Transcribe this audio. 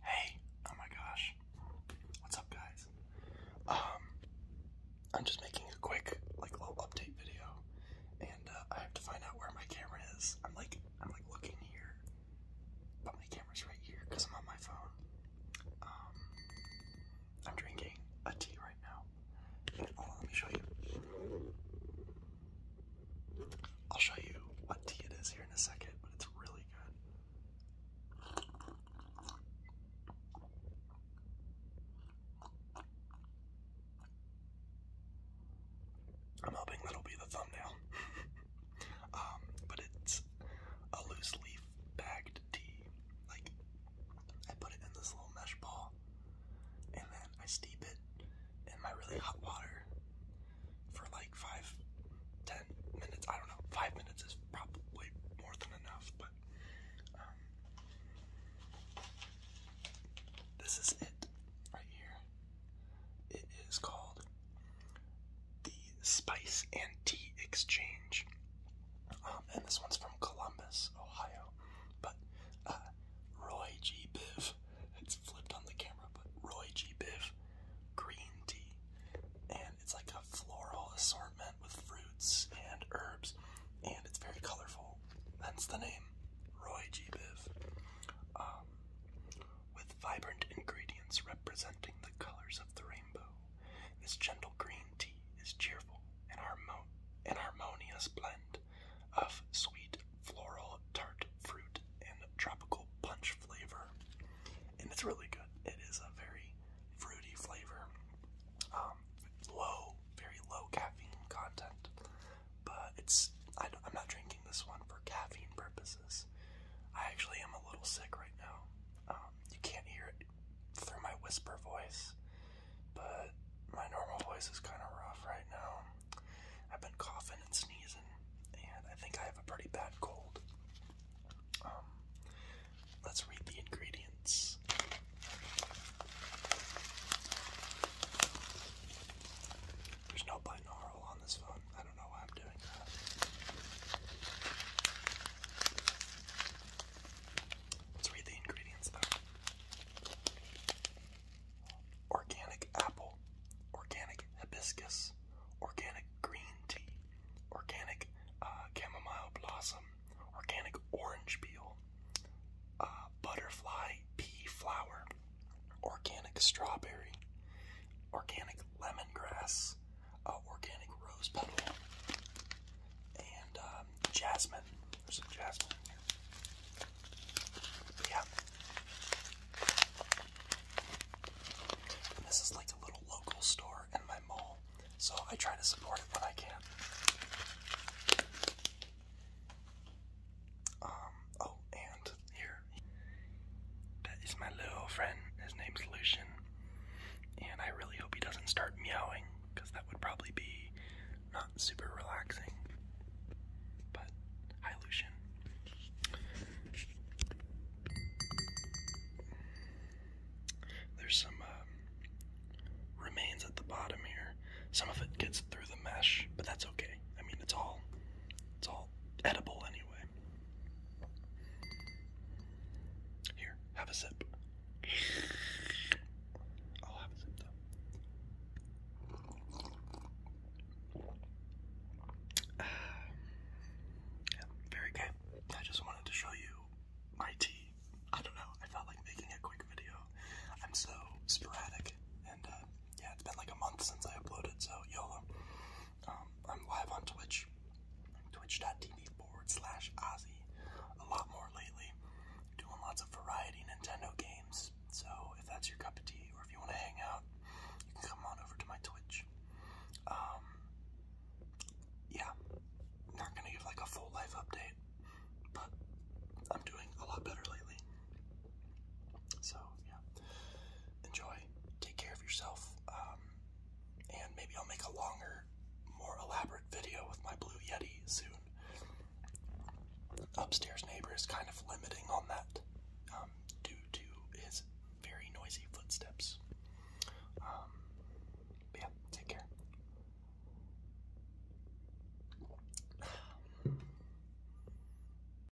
Hey, oh my gosh. What's up guys? Um I'm just making a quick like little update video and uh, I have to find out where my camera is. I'm like I'm like looking here. But my camera's right here because I'm on my phone. Um I'm drinking a tea right now. Hold let me show you. I'll show you what tea it is here in a second, but it's really good. I'm hoping that'll be the thumbnail. um, but it's a loose leaf bagged tea. Like, I put it in this little mesh ball, and then I steep it in my really hot water for like five, ten minutes. I don't know. Five minutes is probably more than enough, but um, this is it right here. It is called the Spice and Tea Exchange, um, and this one's from Columbus, Ohio. But uh, Roy G. Biv it's flipped on the camera, but Roy G. Biv green tea. And it's like a floral assortment with fruits and herbs, and it's very colorful. Hence the name Roy G. Biv. Um, with vibrant ingredients representing the colors of the rainbow, this gentle green tea is cheerful and, harmonious blend of sweet floral tart fruit and tropical punch flavor. And it's really good. It is a very fruity flavor. Um, low, very low caffeine content. But it's, I, am not drinking this one for caffeine purposes. I actually am a little sick right now. Um, you can't hear it through my whisper voice, but my normal voice is kind of rough right now. I've been coughing and sneezing, and I think I have a pretty bad cold. Um, let's read the ingredients. There's no binaural on this phone. I don't know why I'm doing that. Let's read the ingredients Organic apple, organic hibiscus, organic green tea, organic uh, chamomile blossom, organic orange peel, uh, butterfly pea flower, organic strawberry, organic lemongrass, uh, organic rose petal, and um, jasmine. There's some jasmine yeah. this is like a little local store in my mall, so I try to support it when I can. Um, oh, and here. That is my little friend. His name's Lucian. And I really hope he doesn't start meowing, because that would probably be not super relaxing. But, hi Lucian. There's some um, remains at the bottom here. Some of it gets through the mesh, but that's okay. I mean, it's all it's all edible anyway. Here, have a sip. I'll have a sip though. yeah, very good. I just wanted to show you my tea. I don't know. I felt like making a quick video. I'm so sporadic, and uh, yeah, it's been like a month since I uploaded, so YOLO. Um, I'm live on Twitch, twitch.tv forward slash Ozzy. A lot more lately. Doing lots of variety Nintendo games. So if that's your cup of tea, or if you want to hang out, you can come on over to my Twitch. Um, yeah, not gonna give like a full life update, but I'm doing a lot better lately. So yeah, enjoy. Take care of yourself. Um, and maybe I'll make a longer, more elaborate video with my Blue Yeti soon. Upstairs neighbor is kind of limiting on that um, due to his very noisy footsteps. Um, yeah, take care.